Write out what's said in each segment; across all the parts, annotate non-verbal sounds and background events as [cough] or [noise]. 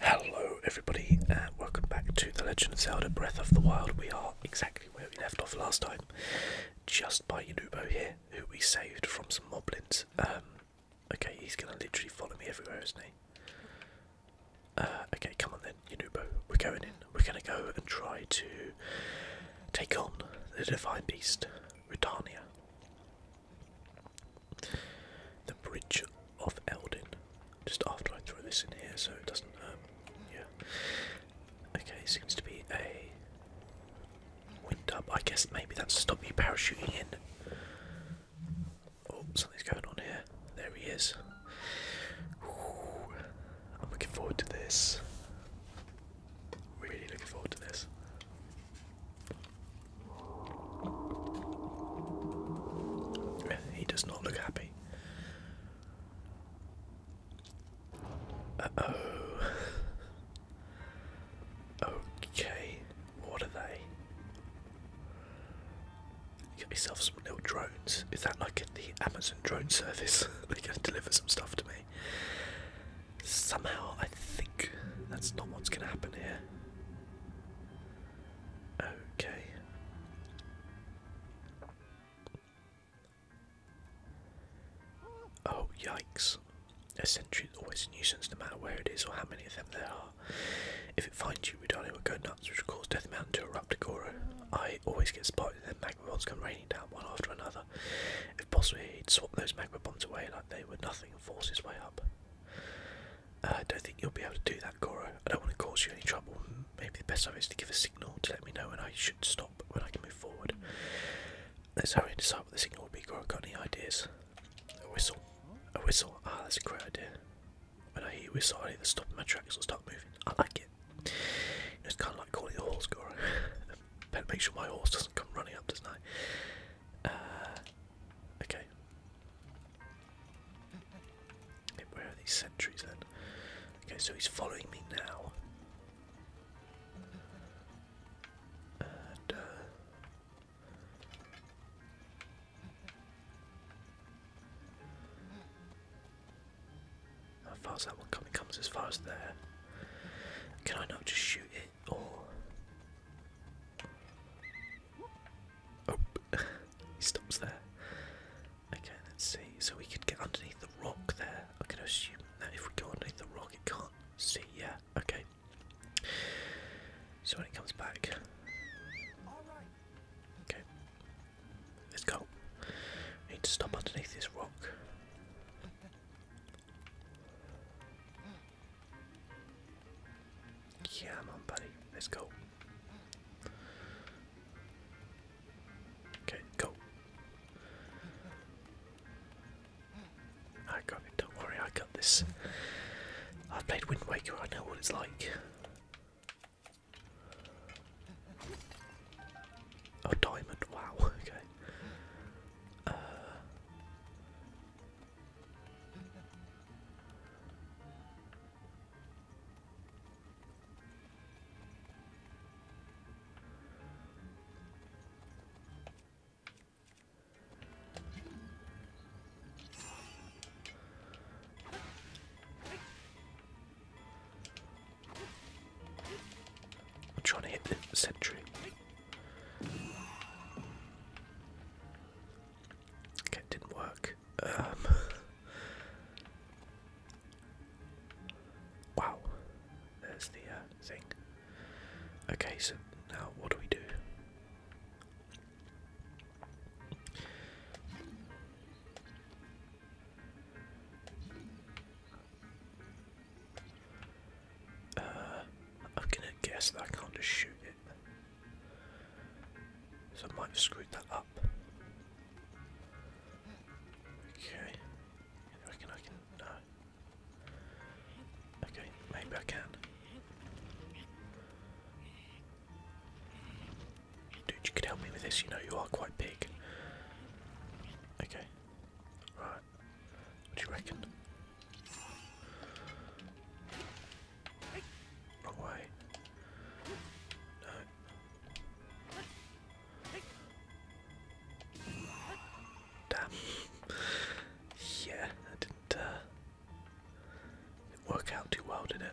Hello everybody and welcome back to The Legend of Zelda Breath of the Wild. We are exactly where we left off last time, just by Inubo here, who we saved from some moblins. Um, okay, he's going to literally follow me everywhere, isn't he? Uh, okay, come on then, Inubo, we're going in. We're going to go and try to take on the Divine Beast, Redania. The Bridge of Eldin. Just after I throw this in here so it doesn't, um, yeah. Okay, seems to be a wind up. I guess maybe that's to stop you parachuting in. Oh, something's going on here. There he is. I'm looking forward to this. Really looking forward to this. He does not look happy. Uh oh. okay, what are they? You got yourself some little drones. Is that like the Amazon drone service? [laughs] They're going to deliver some stuff to me. Somehow, I think that's not what's going to happen here. Okay. Oh, yikes. A sentry is always a nuisance no matter where it is or how many of them there are. If it finds you, we Ridani will go nuts, which will cause Death Mountain to erupt Goro. I always get spotted and then magma bombs come raining down one after another. If possible, he'd swap those magma bombs away like they were nothing and force his way up. Uh, I don't think you'll be able to do that, Goro. I don't want to cause you any trouble. Maybe the best idea is to give a signal to let me know when I should stop, when I can move forward. Let's hurry and decide what the signal will be, Goro. Got any ideas? A whistle. A whistle. Ah, that's a great idea. When I hear a whistle, I either stop my tracks or start moving. I like it. it's kind of like calling a horse, Goro. Better [laughs] make sure my horse doesn't come running up, doesn't I? Uh, okay, where are these sentries then? Okay, so he's following me now. And, uh, how far is that one coming? Comes as far as there. Can I not just shoot it? Or Oh, [laughs] he stops there. Okay, let's see. So we could get underneath the rock there. i can assume that if we go underneath the rock, it can't see. Yeah, okay. So when it comes back. Okay. Let's go. We need to stop underneath this rock. Yeah, come on, buddy. Let's go. Okay, go. I got it. Don't worry, I got this. I've played Wind Waker. I know what it's like. Oh, diamond! Wow. [laughs] Okay. Uh, I'm trying to hit the sentry. Okay, didn't work. Um, wow, there's the uh, thing. Okay, so now what do we do? Uh, I'm gonna guess that I can't just shoot it. So I might have screwed that up. Okay. I reckon I can. No. Okay, maybe I can. Dude, you could help me with this. You know, you are quite big. Okay. Right. What do you reckon? Wrong No. Damn. yeah, that didn't, uh, didn't work out too well, did it?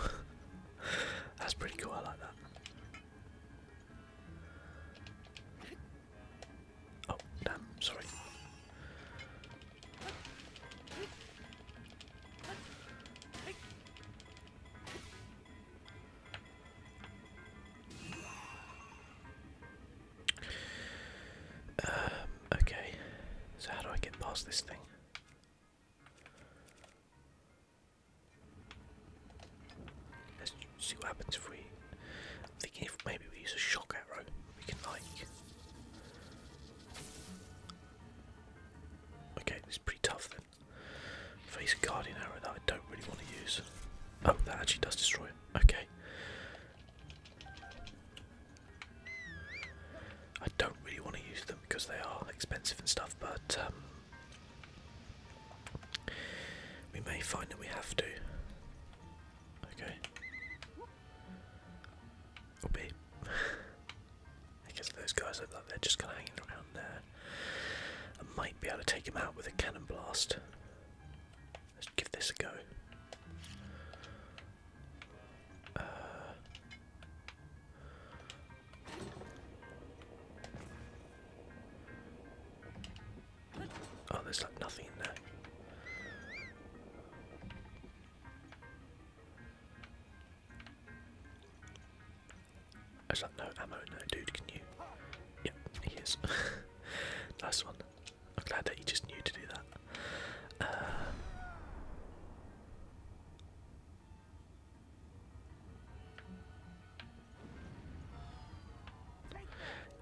[laughs] That's pretty cool, I like that. Oh, damn, sorry. Um, okay, so how do I get past this thing? Let's see what happens if we. I'm thinking if maybe we use a shock arrow, we can like. Okay, it's pretty tough then. Face a guardian arrow that I don't really want to use. Oh, that actually does destroy it. Okay. I don't really want to use them because they are expensive and stuff, but um, we may find that we have to. Okay. Or [laughs] I guess those guys look like they're just kind of hanging around there. I might be able to take him out with a cannon blast. Let's give this a go. Uh, Oh, there's like nothing in there. There's like no ammo no dude, can you? Yep, he is. [laughs] nice one. I'm glad that he just knew to do that. Uh,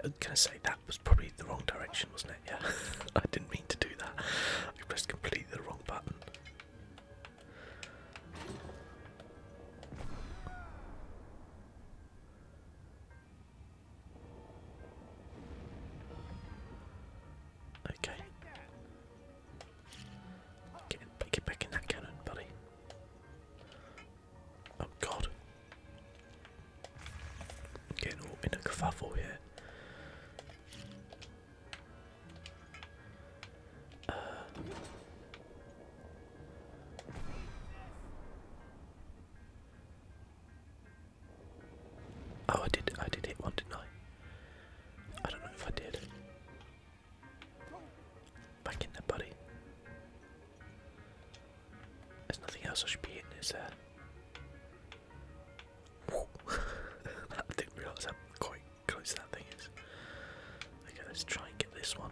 I was say that was probably the wrong direction, wasn't it? Yeah, [laughs] I didn't mean to do that. I pressed completely the wrong button. Okay. Get, back in that cannon, buddy. Oh god. Getting all in a kerfuffle here. Uh. oh, I did. I did hit one, did I don't know if I did. Back in there, buddy. There's nothing else I should be hitting, is there? [laughs] didn't realise how close that thing is. Okay, let's try and get this one.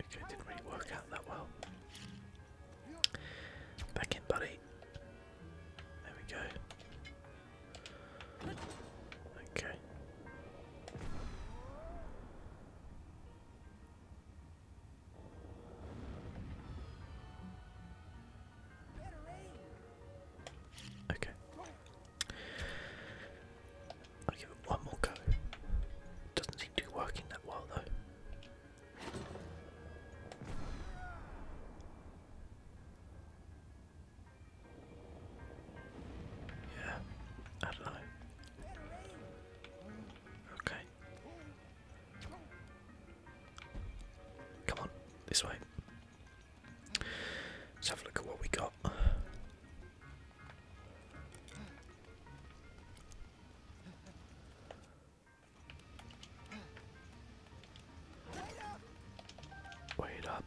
Okay, didn't really work out that well. Back in, buddy. There we go. Okay. Okay. I'll give it one more go. Doesn't seem to be working that well though. Yeah, I don't know. Okay. Come on, this way. Let's have a look at what we got. Wait up.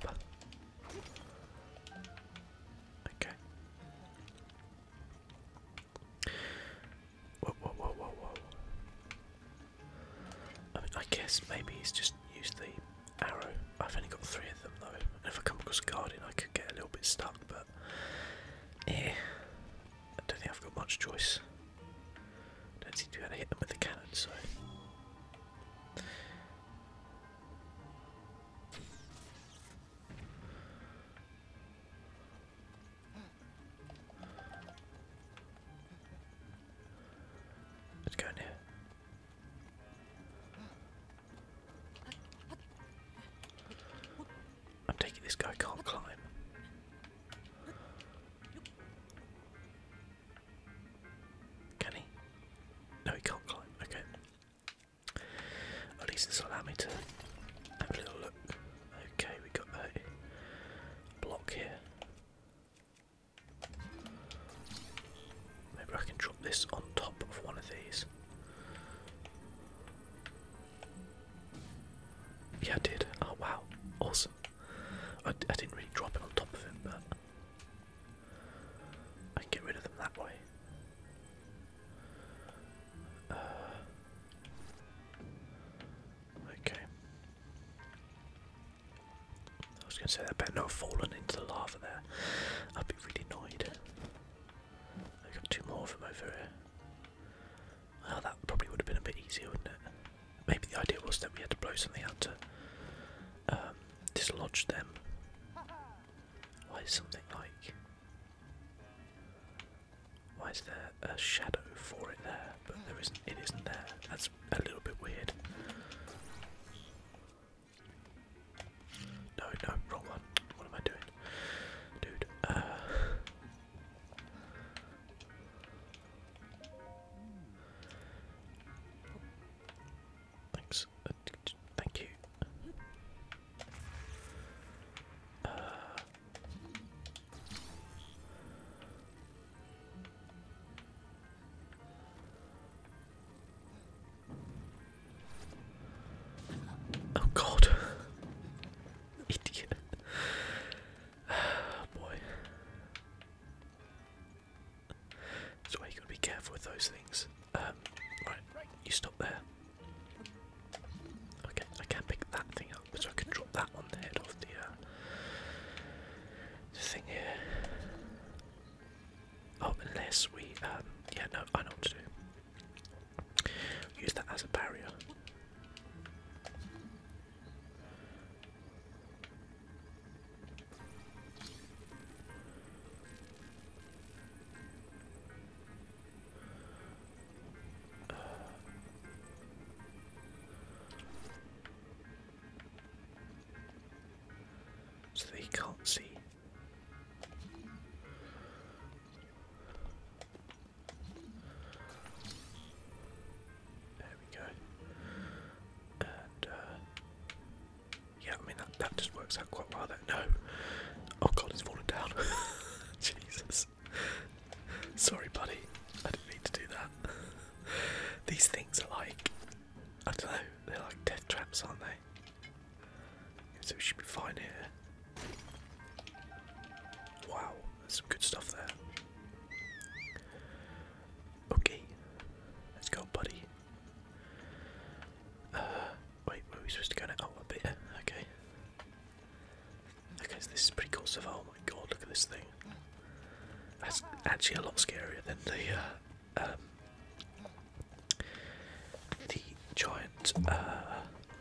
Okay. Whoa, whoa, whoa, whoa, whoa. I mean, I guess maybe he's just used the arrow. I've only got three of them though. And if I come across a guardian, I could get a little bit stuck, but. Eh. I don't think I've got much choice. don't seem to be able to hit them with the cannon, so. Let's go in here. I'm taking this guy can't climb. Can he? No, he can't climb. Okay. At least this will allow me to have a little look. Okay, we got a block here. Maybe I can drop this on top of one of these. Yeah, I did. Oh, wow. Awesome. I, didn't really drop it on top of him, but I can get rid of them that way. Uh, okay. I was going to say that better not have fallen into the lava there. I'd be really annoyed. I've got two more of them over here. Well, that probably would have been a bit easier, wouldn't it? Maybe the idea was that we had to blow something out to um, dislodge them. Why is something like. Why is there a shadow for it there? But there isn't. It isn't there. That's a little bit weird. No, no, wrong one. What am I doing, dude? Uh, Thanks. Uh, thank you. Uh. oh God. Idiot. [sighs] Oh, boy. So you gotta be careful with those things. Um, right, you stop there. Okay, I can pick that thing up, so I can drop that on the head of the, uh, thing here. Oh, unless we, um, yeah, no, I know what to do. Use that as a barrier. So they can't see. There we go. Uh, yeah, I mean that just works out quite well. There, no. Oh God, it's fallen down. [laughs] Jesus. Sorry, buddy. I didn't mean to do that. These things are like I don't know. They're like death traps, aren't they? So we should be fine here. Wow, that's some good stuff there. Okay, let's go, buddy. Uh, wait, where are we supposed to go now? Oh, a bit. Okay. Okay, this is pretty cool so Oh my god, look at this thing. That's actually a lot scarier than the uh, um, giant uh,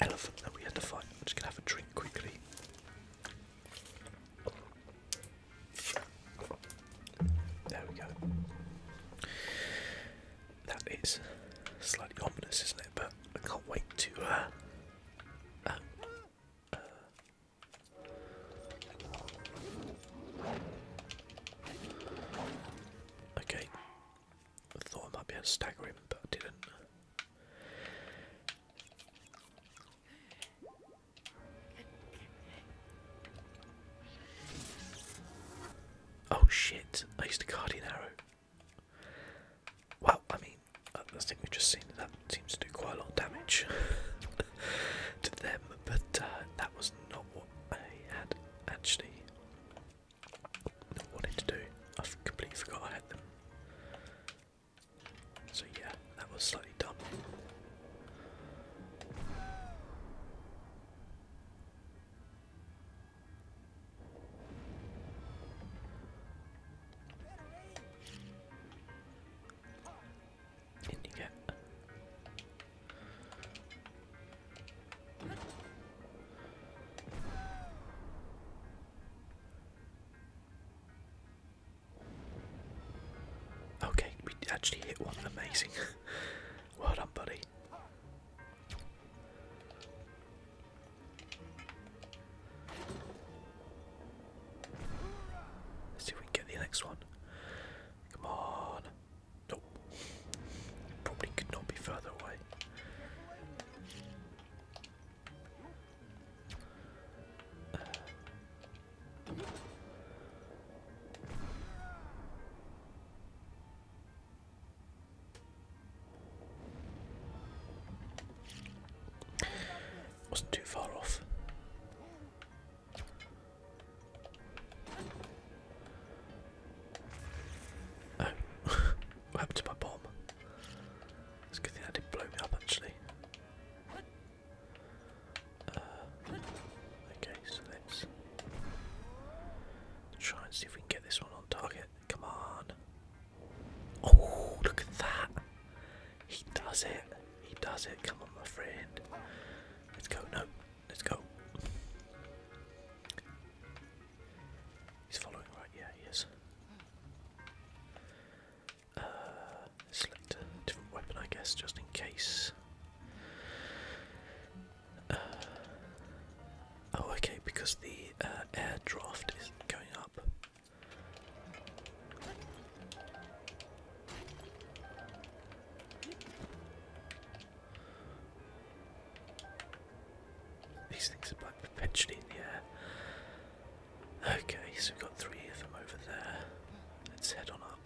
elephant that we had to fight. I'm just gonna have a drink quickly. There we go. That is slightly ominous, isn't it? But I can't wait to. Uh, uh, okay, I thought I might be able to stagger him, but I didn't. Oh shit, I used a guardian arrow. Well, I mean, I uh, think we've just seen that, seems to do quite a lot of damage [laughs] to them, but uh, that was not what I had actually wanted to do. I completely forgot I had them. So yeah, that was slightly dumb. In you get. Okay, we actually hit one. Amazing. [laughs] well done, buddy. Let's see if we can get the next one. Come on. Nope. Probably could not be further away. Wasn't too far off. Oh, [laughs] what happened to my bomb? It's a good thing that didn't blow me up actually. Uh, okay, so let's try and see if we can get this one on target. Come on. Oh, look at that. He does it. He does it. Come on, my friend. Let's go. No, let's go. He's following, right? Yeah, he is. Uh, select a different weapon, I guess, just in case. Uh, oh, okay, because the uh, air draft is going up. These things are perpetually in the air. Okay, so we've got three of them over there. Let's head on up.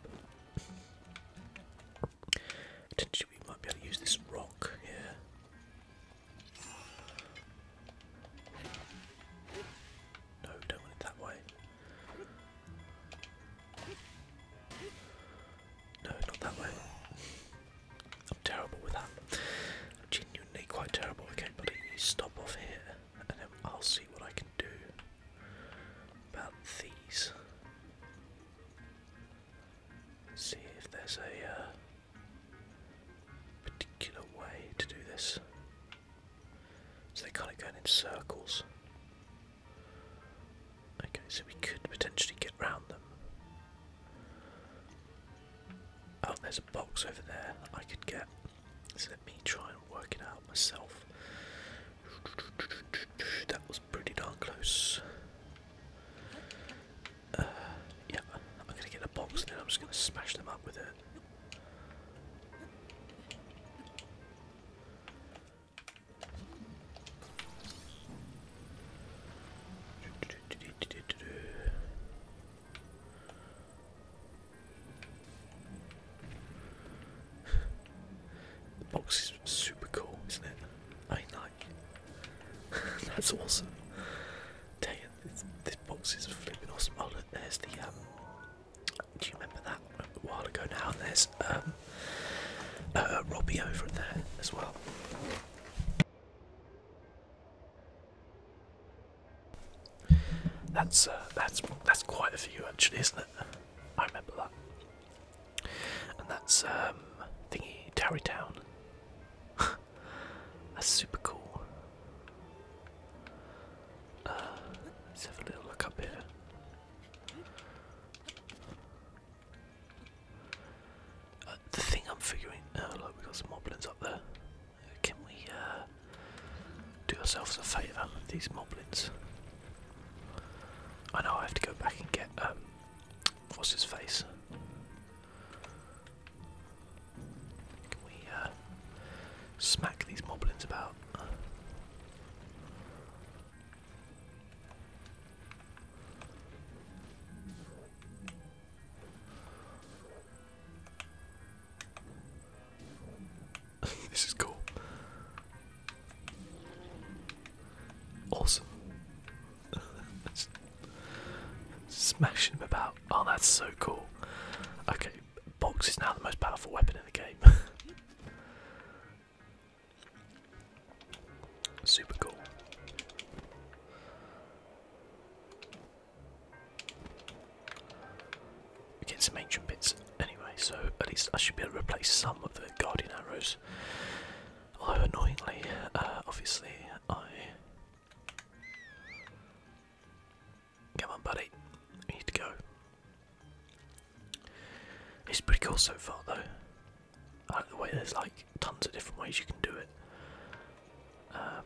Potentially we might be able to use this rock here. No, don't want it that way. No, not that way. I'm terrible with that. I'm genuinely quite terrible. Okay, buddy, you stop off here, and then I'll see what I can do about these. See if there's a uh, particular way to do this. So they're kind of going in circles. Okay, so we could potentially get round them. Oh, there's a box over there I could get. So let me try and work it out myself. That was pretty darn close. Uh, yeah, I'm gonna get the box and I'm just gonna smash them up with it. [laughs] the box is super cool, isn't it? I like. [laughs] That's awesome. Dang it, this, box is flipping awesome. Oh look, there's the um, Do you remember that a while ago now? There's um, uh, Robbie over there as well. That's uh, that's that's quite a few actually, isn't it? I remember that. And that's um, thingy Tarrytown. [laughs] that's super cool. Uh, let's have a little look up here the thing I'm figuring, oh look, we got some moblins up there. Can we uh, do ourselves a favour with these moblins? I know I have to go back and get um, his face. Can we uh, smack these moblins about? [laughs] this is cool. Awesome. [laughs] smashing them about. Oh, that's so cool. Okay, box is now the most powerful weapon in the game. [laughs] Super cool. We get some ancient bits anyway, so at least I should be able to replace some of the guardian arrows. Although annoyingly, uh, obviously, I come on, buddy, need to go. It's pretty cool so far, though. I like the way there's like tons of different ways you can do it. Um,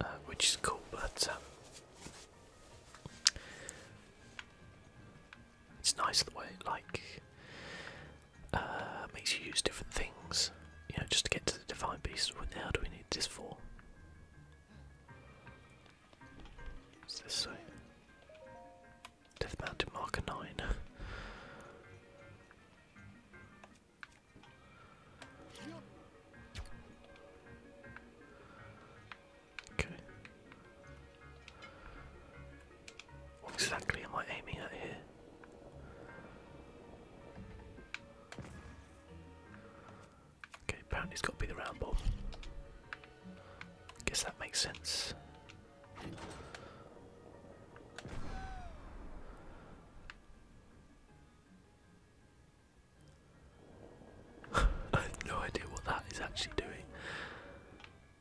uh, which is cool, but um, it's nice the way it like uh, makes you use different things, you know, just to get to the divine beast. Now, do we need this for? What's this Death Mountain Marker 9. okay. What exactly am I aiming at here? Okay, apparently it's got to be the round bob. Guess that makes sense. I [laughs] have no idea what that is actually doing.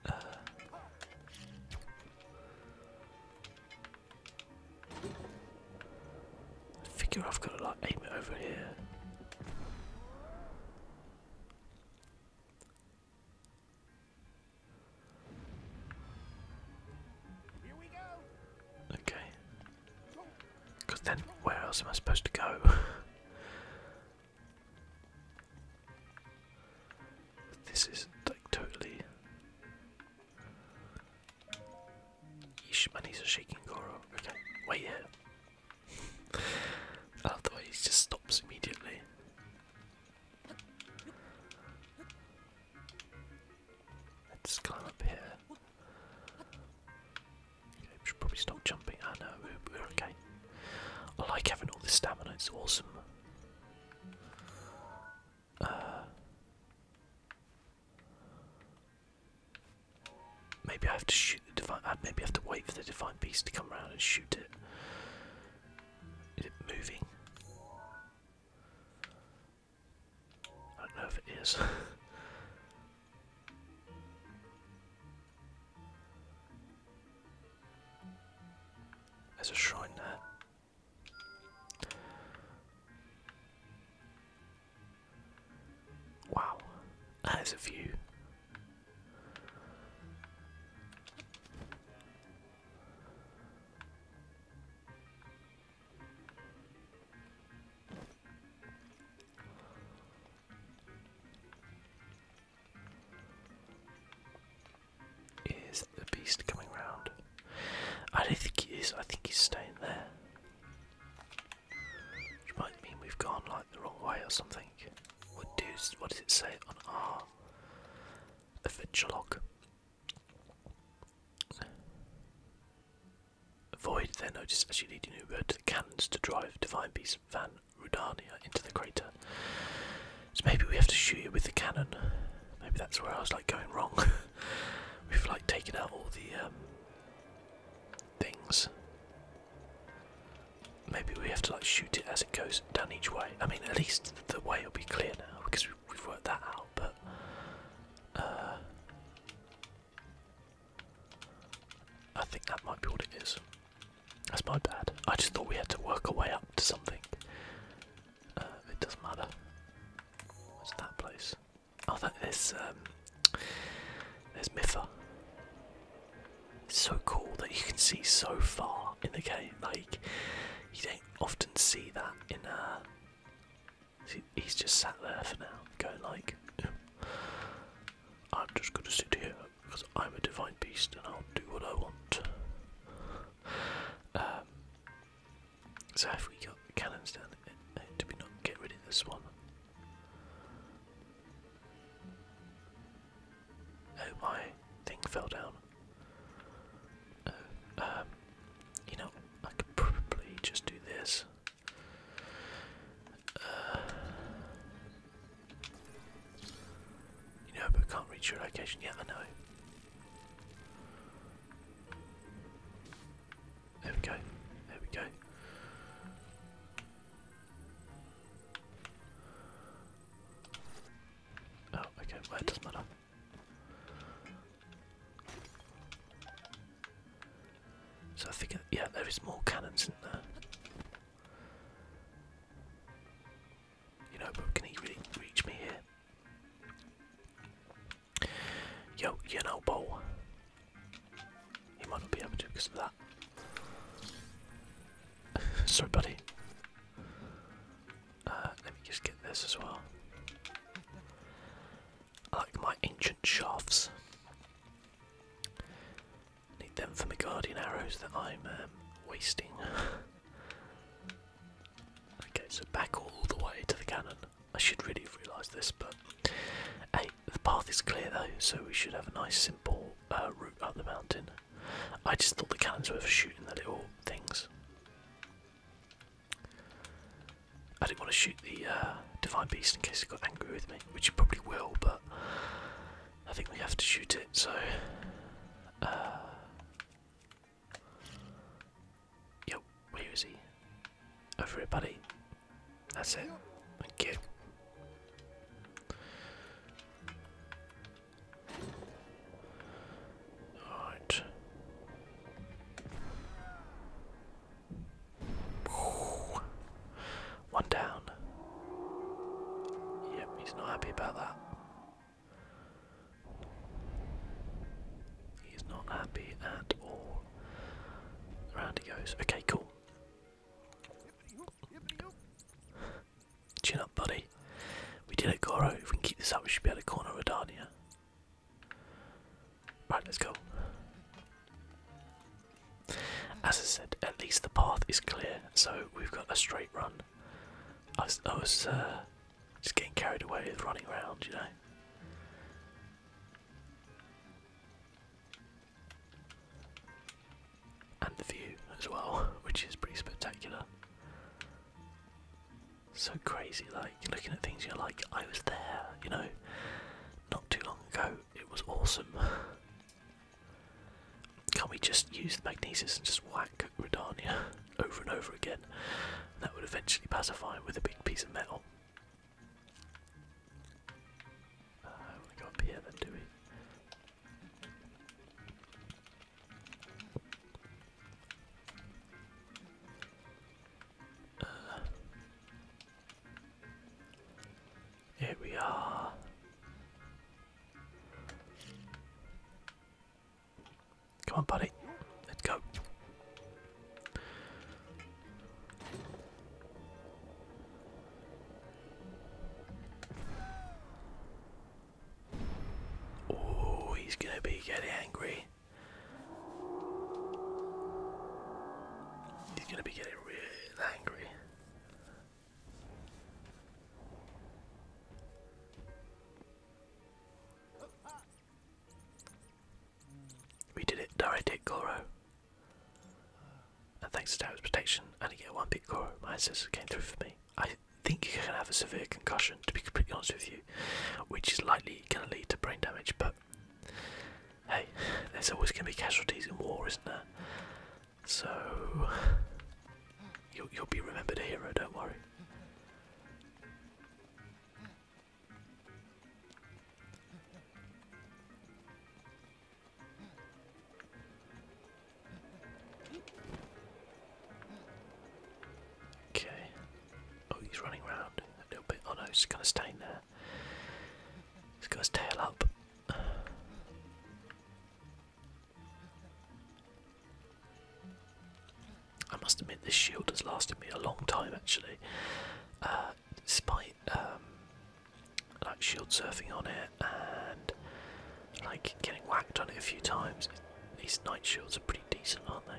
Uh, I figure I've got to like aim it over here. Okay. Because then, where else am I supposed to go? [laughs] this is like totally. Yeesh, my knees are shaking, Goro. Okay, wait I love he just stops immediately. Let's climb up here. should probably stop jumping. Ah oh, we're, okay. I like having all this stamina, it's awesome. Uh, Maybe I have to shoot the divine. I have to wait for the divine beast to come around and shoot it. Is it moving? I don't know if it is. [laughs] There's a shrine there. Wow, that is a view. Is the beast coming round? I don't think he is, I think he's staying there. Which might mean we've gone like the wrong way or something. What do what does it say on our R? A log? Avoid their notice as you lead your new to the cannons to drive Divine Beast Van Rudania into the crater. So maybe we have to shoot you with the cannon. Maybe that's where I was like going wrong. [laughs] We've like taken out all the um, things. Maybe we have to like shoot it as it goes down each way. I mean, at least the way will be clear now because we've worked that out. But uh, I think that might be what it is. That's my bad. I just thought we had to work our way up to something. Uh, it doesn't matter. What's that place? Oh, that is um, there's Mithra. It's so cool that you can see so far in the game. Like you don't often see that in a. Uh, he's just sat there for now, going like I'm just gonna sit here because I'm a divine beast and I'll do what I want. Um, so have we got cannons down? Do uh, we not get rid of this one? Oh, my thing fell down. Oh, um, you know, I could probably just do this. Uh, you know, but can't reach your location yet, I know. There we go, there we go. Oh, okay, well, it does So I think, yeah, there is more cannons in there. You know, but can he really reach me here? Yo, you know, bow. He might not be able to because of that. [laughs] Sorry, buddy. Uh, let me just get this as well. I like my ancient shafts. Need them for my guardian arrows that I'm um, wasting. [laughs] okay, so back all the way to the cannon. I should really have realised this, but hey, the path is clear though, so we should have a nice simple uh, route up the mountain. I just thought the cannons were for shooting the little things. I didn't want to shoot the uh, divine beast in case it got angry with me, which it probably will, but I think we have to shoot it. So, uh, where is he? Over here, buddy. That's it. Thank Alright. One down. Yep, he's not happy about that. He's not happy at all. Round he goes. Okay, cool. Chin up, buddy. We did it, Goro. If we can keep this up, we should be able to corner Redania. Right, let's go. As I said, at least the path is clear, so we've got a straight run. I was, uh, just getting carried away with running around, you know. And the view as well, [laughs] which is pretty spectacular. So crazy, like looking at things, you're like, I was there, you know, not too long ago. It was awesome. [laughs] can we just use the magnesis and just whack Radania [laughs] over and over again? That would eventually pacify him with a big piece of metal. Uh, we go up here then, do we? Uh, here we are. Come on, buddy. Let's go. Oh, he's gonna be getting angry. He's gonna be getting really angry. We did it, direct and thanks to David's protection, I only get one big core. My ancestor came through for me. I think you are gonna have a severe concussion, to be completely honest with you, which is likely going to lead to brain damage, but hey, there's always going to be casualties in war, isn't there? So, you'll, you'll be remembered a hero, don't worry. Okay. Oh, he's running around a little bit. Oh no, he's kind of staying there. He's got his tail up. I must admit, this shield has lasted me a long time actually. Uh, despite um, like shield surfing on it and like getting whacked on it a few times, these night shields are pretty decent, aren't they?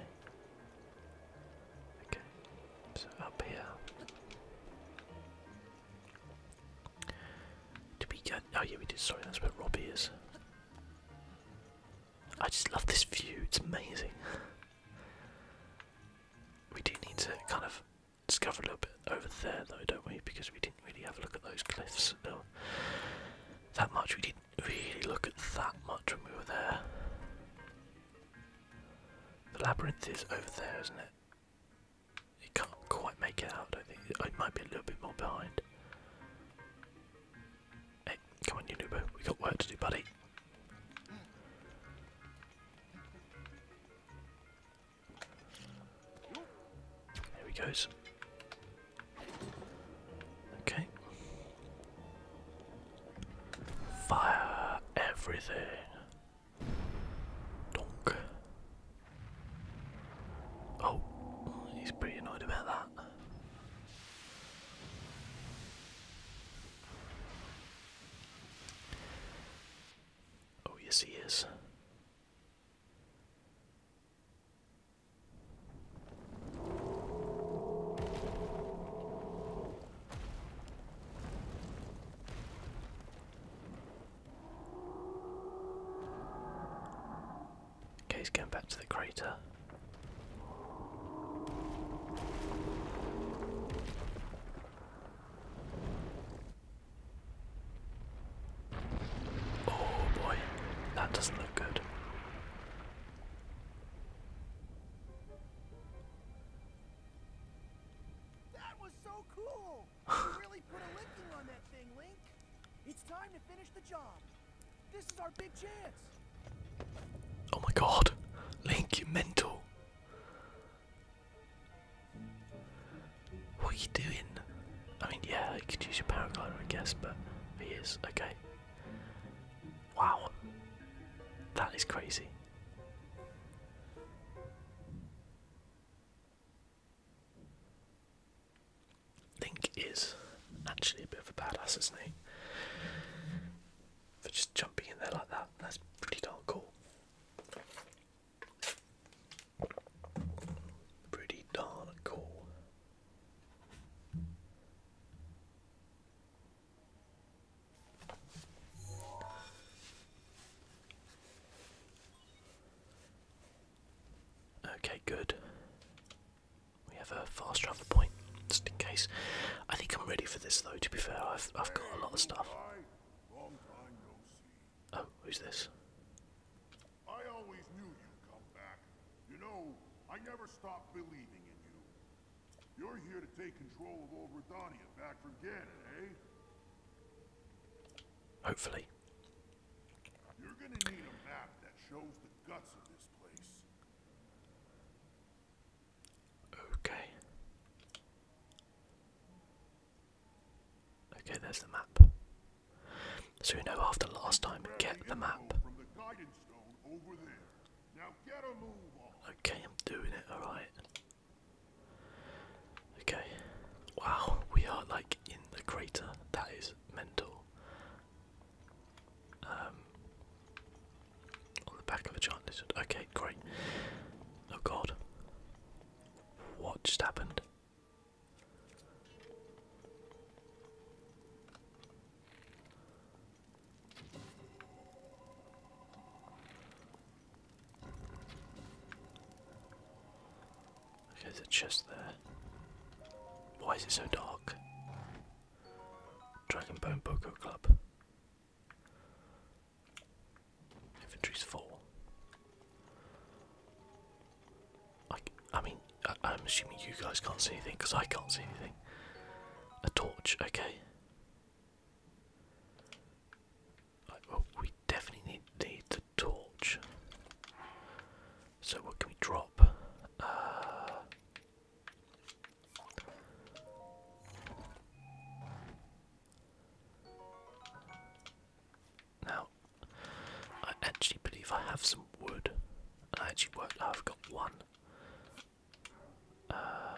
Okay, so up here. Did we get. Oh, yeah, we did. Sorry, that's where Robbie is. I just love this view, it's amazing. [laughs] we do need to kind of discover a little bit over there though, don't we? Because we didn't really have a look at those cliffs that much. We didn't really look at that much when we were there. The labyrinth is over there, isn't it? It can't quite make it out, I think. It might be a little bit more behind. Hey, come on, you We got work to do, buddy. There he goes. Okay. Fire everything. Donk. Oh, he's pretty annoyed about that. Oh, yes, he is. Okay, he's going back to the crater. Oh boy, that doesn't look good. That was so cool! [laughs] you really put a licking on that thing, Link. It's time to finish the job. This is our big chance. Oh my god. Link, you mental. What are you doing? I mean, yeah, you could use your power paraglider, I guess, but he is okay. Wow, that is crazy. Link is actually a bit of a badass, isn't he? For just jumping in there like that, that's pretty darn cool. Pretty darn cool. Okay, good. We have a fast travel point, just in case. I think I'm ready for this though, to be fair. I've, I've got a lot of stuff. Oh, who's this? I always knew you'd come back. You know, I never stopped believing in you. You're here to take control of old Redania back from Ganon, eh? Hopefully. Okay. Okay, there's the map. So we know after last time, get the map. Okay, I'm doing it, alright. Okay. Wow, we are like in the crater. That is mental. Um, on the back of a giant lizard. Okay, great. Oh god. What just happened? Okay, there's a chest there. Why is it so dark? Dragonbone Bone Club. Inventory's full. I, I mean, I, am assuming you guys can't see anything because I can't see anything. A torch, okay. well, we definitely need, the torch. So, what can we drop? Uh, now, I actually believe I have some wood. I actually worked, oh, I've got one. Uh,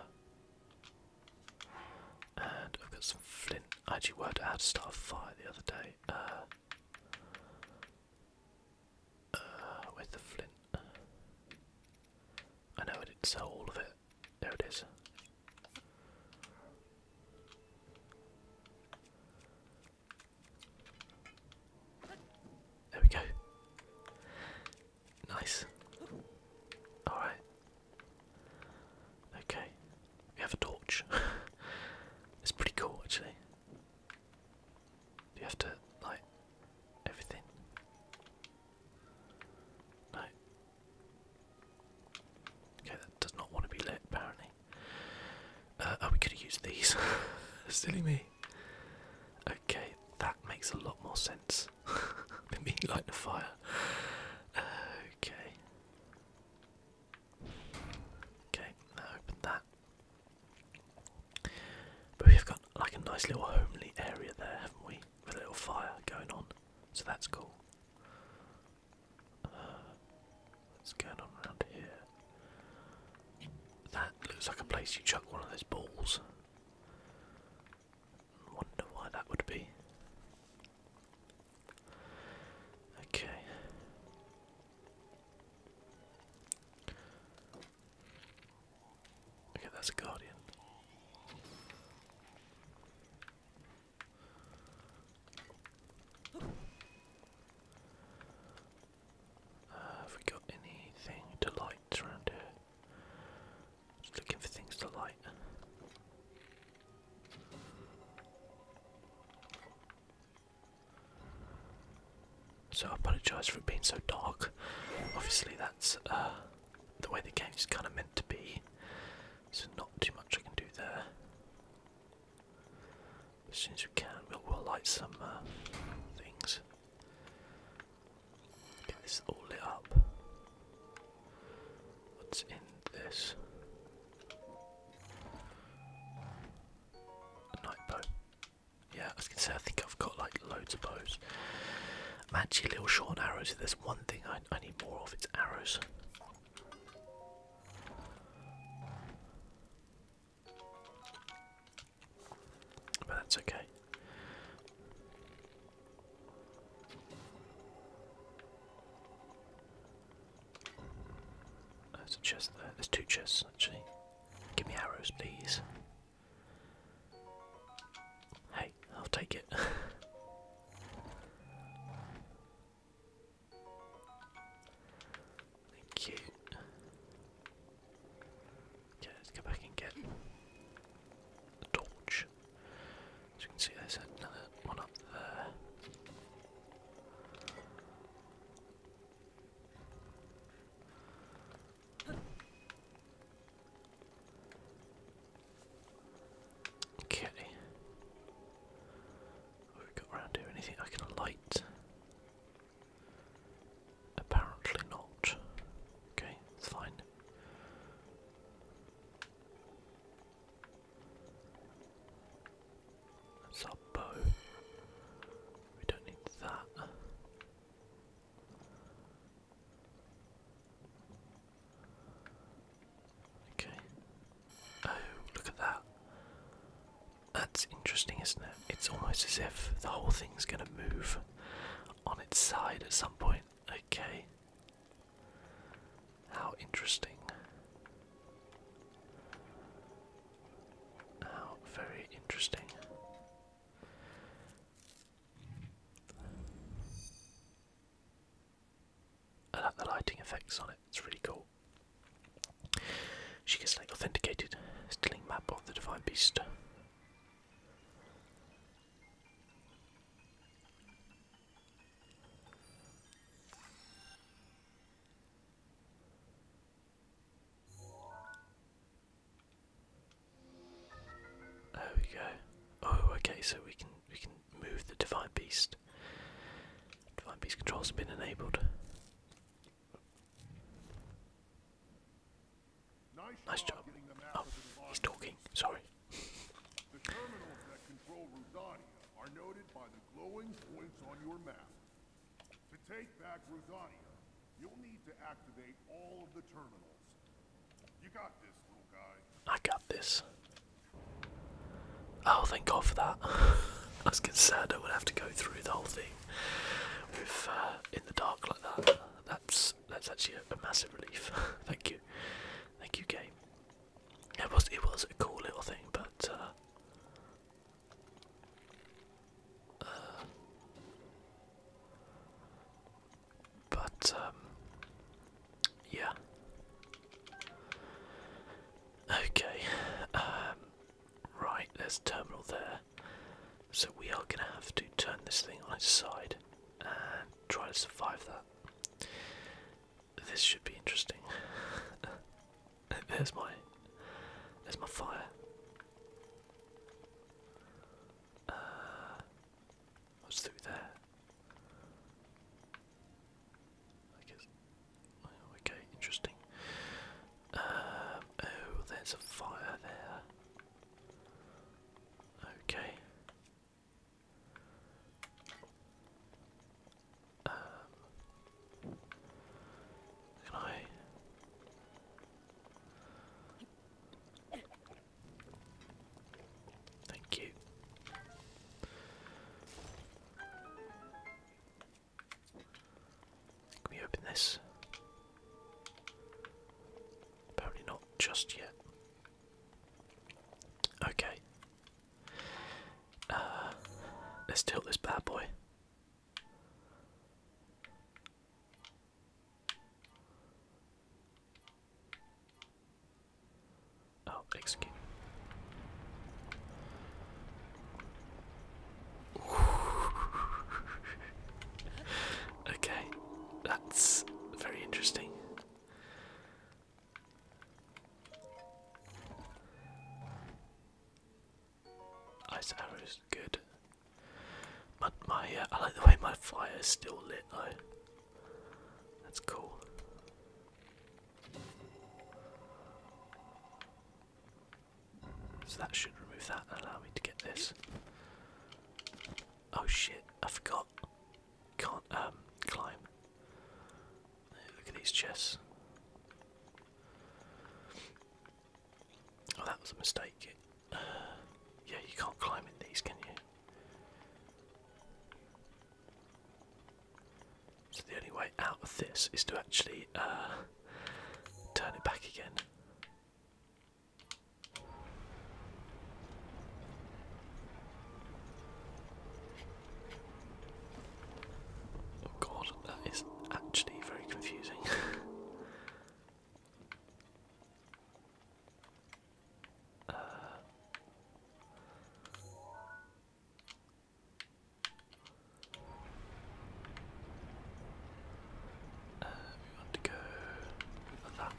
and I've got some flint. I actually worked out how to start a fire the other day. Uh, uh, with the flint. I know I didn't sell all of it, there it is. There we go. Nice. Alright. Okay. We have a torch. [laughs] it's pretty cool actually. Do you have to light everything? No, Okay, that does not want to be lit, apparently. Uh, oh, we could have used these. [laughs] Silly me. Okay, that makes a lot more sense. [laughs] Than me lighting a fire. Okay. Okay, now open that. But we've got like a nice little homely area there, haven't we? With a little fire going on. So that's cool what's going on around here? That looks like a place you chuck one of those balls. Wonder why that would be. Okay. Okay, that's a guardian have we got anything to light around here? Just looking for things to light. So I apologise for it being so dark. Obviously, that's uh, the way the game is kind of meant to be. So not too much I can do there. As soon as we can, we'll, light some uh, things. Get this all lit up. What's in this? night bow. Yeah, I was gonna say I think I've got like loads of bows i actually little short arrows. If there's one thing I, I need more of, it's arrows. But that's okay. There's a chest there. There's two chests actually. Give me arrows, please. Hey, I'll take it. [laughs] Thank you. Okay, let's go back and get the torch. As you can see, there's another one up there. Okay. have we got around here? Anything I can light? Apparently not. Okay, it's fine. That's We don't need that. Okay. Oh, look at that. That's interesting, isn't it? It's almost as if the whole thing's going to move on its side at some point. Okay. How interesting. How very interesting. I like the lighting effects on it, it's really cool. She gets like authenticated, stealing map of the divine beast. There we go. Oh, okay. So we can we can move the Divine Beast. Divine Beast controls have been enabled. Nice, job. Oh, he's talking. Sorry. the terminals that control Ruzadia are noted by the glowing points on your map. To take back Ruzadia, you'll need to activate all of the terminals. I got this. Oh, thank God for that. As [laughs] was concerned I would have to go through the whole thing with uh, in the dark like that. That's that's actually a, massive relief. [laughs] thank you, thank you, game. It was it was a cool little thing, but. Uh, uh, but, um, yeah. Okay, um, right, there's a terminal there. So we are going to have to turn this thing on its side and try to survive that. This should be interesting. [laughs] there's my, there's my fire. Uh, I was through there. I guess. Oh, okay, interesting. Um, oh, there's a fire there. Okay. Um, can I? Thank you. Can we open this? Apparently not just yet. Okay. Uh, let's tilt this bad boy. Oh, execute. [laughs] okay, that's very interesting. Ice arrows, good. But my uh, I like the way my fire is still lit though. That's cool. So that should remove that and allow me to get this. Oh shit, I forgot. Can't um climb. Look at these chests. Oh, that was a mistake. [sighs] yeah, you can't climb in these, can you? So the only way out of this is to actually uh, turn it back again. Oh god, that is actually very confusing. [laughs] Uh, we want to go like that.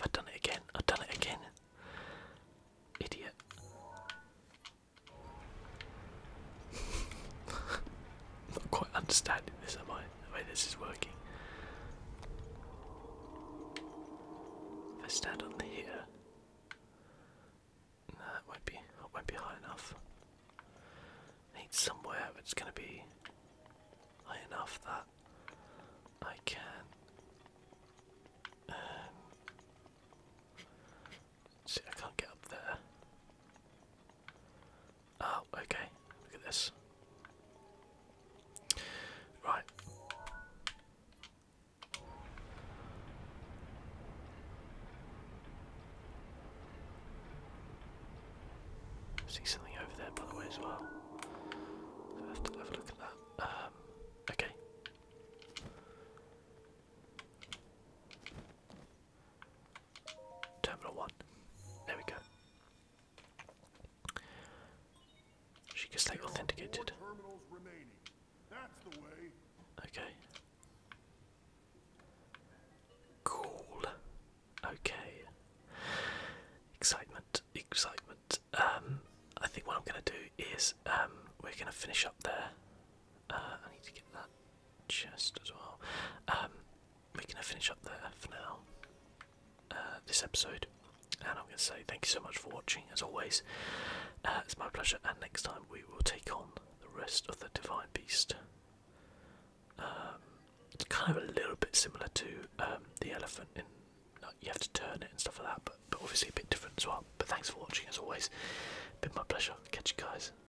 Have done it again? I've done it again. Idiot. [laughs] Not quite understanding this, am I? The way this is working. If I stand on here, no, that won't be that won't be high enough. need somewhere that's going to be high enough that I can. Um, See, I can't get up there. Oh, okay. Look at this. Right. See something over there, by the way, as well. So I have to have a look at that. Um, okay. Terminal 1. There we go. She can stay authenticated. Okay. Cool. Okay. Excitement, excitement. Um, I think what I'm going to do is um, we're going to finish up there. Uh, I need to get that chest as well. Um, we're gonna finish up there for now. Uh, this episode, and I'm gonna say thank you so much for watching. As always, uh, it's my pleasure. And next time we will take on the rest of the Divine Beast. Um, it's kind of a little bit similar to um, the elephant in. Like, you have to turn it and stuff like that, but, but obviously a bit different as well. But thanks for watching as always. Been my pleasure. Catch you guys